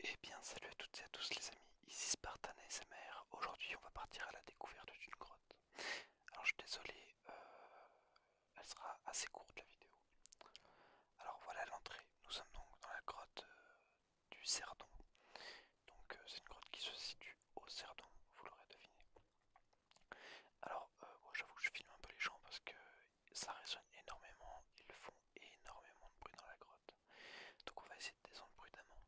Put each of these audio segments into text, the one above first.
Et eh bien salut à toutes et à tous les amis, ici Spartan SMR. Aujourd'hui on va partir à la découverte d'une grotte. Alors je suis désolé, euh, elle sera assez courte la vidéo. Alors voilà l'entrée, nous sommes donc dans la grotte euh, du Cerdon. Donc euh, c'est une grotte qui se situe au Cerdon, vous l'aurez deviné. Alors j'avoue que je filme un peu les gens parce que ça résonne énormément, ils font énormément de bruit dans la grotte. Donc on va essayer de descendre prudemment.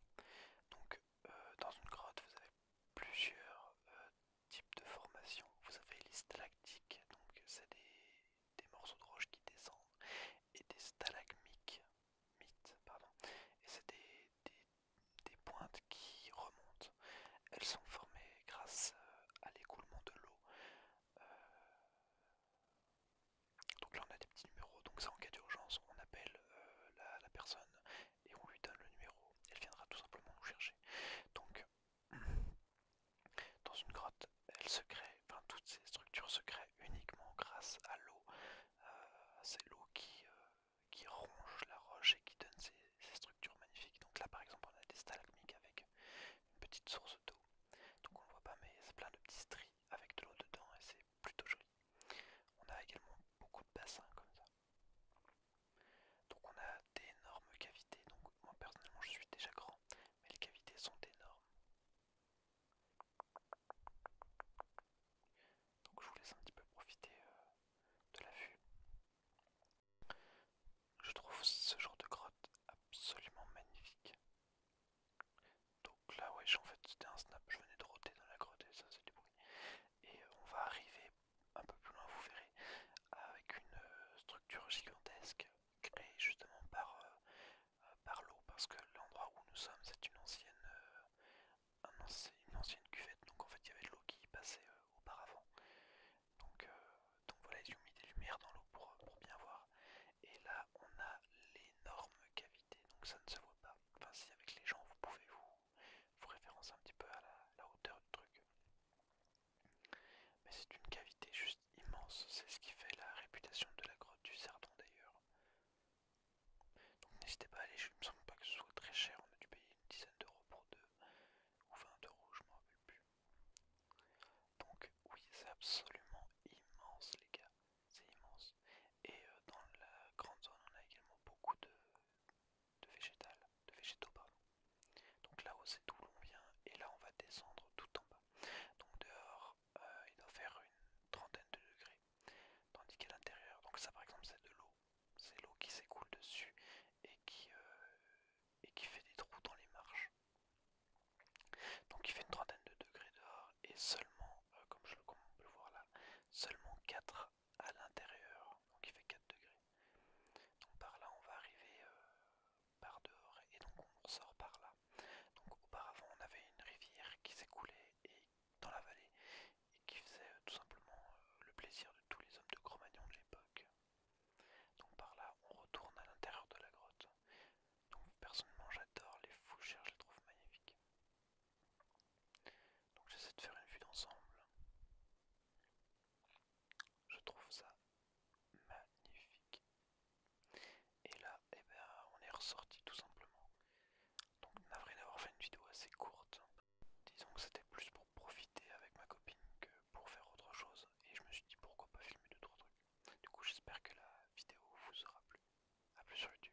Donc euh, dans une grotte, vous avez plusieurs euh, types de formations. Vous avez les stalactiques, donc c'est des, morceaux de roche qui descendent, et des stalagmites, pardon, et c'est des, des, des pointes qui remontent. Elles sont formées grâce euh, à l'écoulement de l'eau. Euh, donc là on a des petits numéros, donc ça en cas d'urgence on appelle euh, la, personne et on lui donne le numéro. Elle viendra tout simplement nous chercher. Donc dans une grotte, elle se crée, enfin toutes ces structures se créent uniquement grâce à l'eau. C'est l'eau qui, qui ronge la roche et qui donne ces, structures magnifiques. Donc là par exemple on a des stalagmites avec une petite source d'eau. Donc on ne voit pas mais c'est plein de petits stries avec de l'eau dedans et c'est plutôt joli. On a également beaucoup de bassins comme ça. Donc on a d'énormes cavités. Donc moi personnellement je suis déjà grand mais les cavités sont énormes. Donc je vous laisse un petit peu profiter euh, de la vue. Je trouve ce genre de grotte absolument magnifique. Donc là ouais en fait c'était un snap, je venais de roter dans la grotte et ça c'est du bruit. Et euh, on va arriver un peu plus loin vous verrez avec une euh, structure gigantesque créée justement par euh, par l'eau parce que l'endroit où nous sommes c'est une ancienne euh, une ancienne cuvette donc en fait il y avait de l'eau qui passait euh, auparavant donc, donc voilà ils ont mis des lumières dans l'eau pour, bien voir et là on a l'énorme cavité donc ça ne se voit pas enfin si avec les gens vous pouvez vous, référence référencer un petit peu à la, la hauteur du truc mais c'est une cavité juste immense, c'est ce qui fait la réputation de la grotte du Sardon d'ailleurs. Donc n'hésitez pas à aller, je ne me semble pas que ce soit très cher, on a dû payer une dizaine d'euros pour deux, ou 20 euros, je m'en rappelle plus. Donc oui, c'est absolument immense les gars, c'est immense. Et euh, dans la grande zone, on a également beaucoup de, végétal, de végétaux pardon. Donc là-haut c'est d'où l'on vient et là on va descendre tout en bas. Donc dehors euh, il doit faire une trentaine de degrés. Tandis qu'à l'intérieur, donc ça par exemple c'est de l'eau. C'est l'eau qui s'écoule dessus et qui, euh, fait des trous dans les marches. Donc il fait une trentaine de degrés dehors et seulement, euh, comme, je, le voir là, seulement 4 à l'intérieur. Donc il fait 4 degrés. Donc par là on va arriver euh, par dehors et donc on sort par là. Donc auparavant on avait une rivière qui s'écoulait dans la vallée et qui faisait euh, tout simplement euh, le plaisir de tous les hommes de Cro-Magnon de l'époque. Donc par là on retourne à l'intérieur de la grotte. Donc personnellement j'adore les fougères, je les trouve magnifiques. Donc j'essaie de faire une vue d'ensemble. Je trouve ça magnifique. Et là, eh ben, on est ressorti tout simplement. Donc navré d'avoir fait une vidéo assez courte. Disons que c'était plus pour profiter avec ma copine que pour faire autre chose. Et je me suis dit pourquoi pas filmer d'autres trucs. Du coup j'espère que la vidéo vous aura plu. A plus sur YouTube.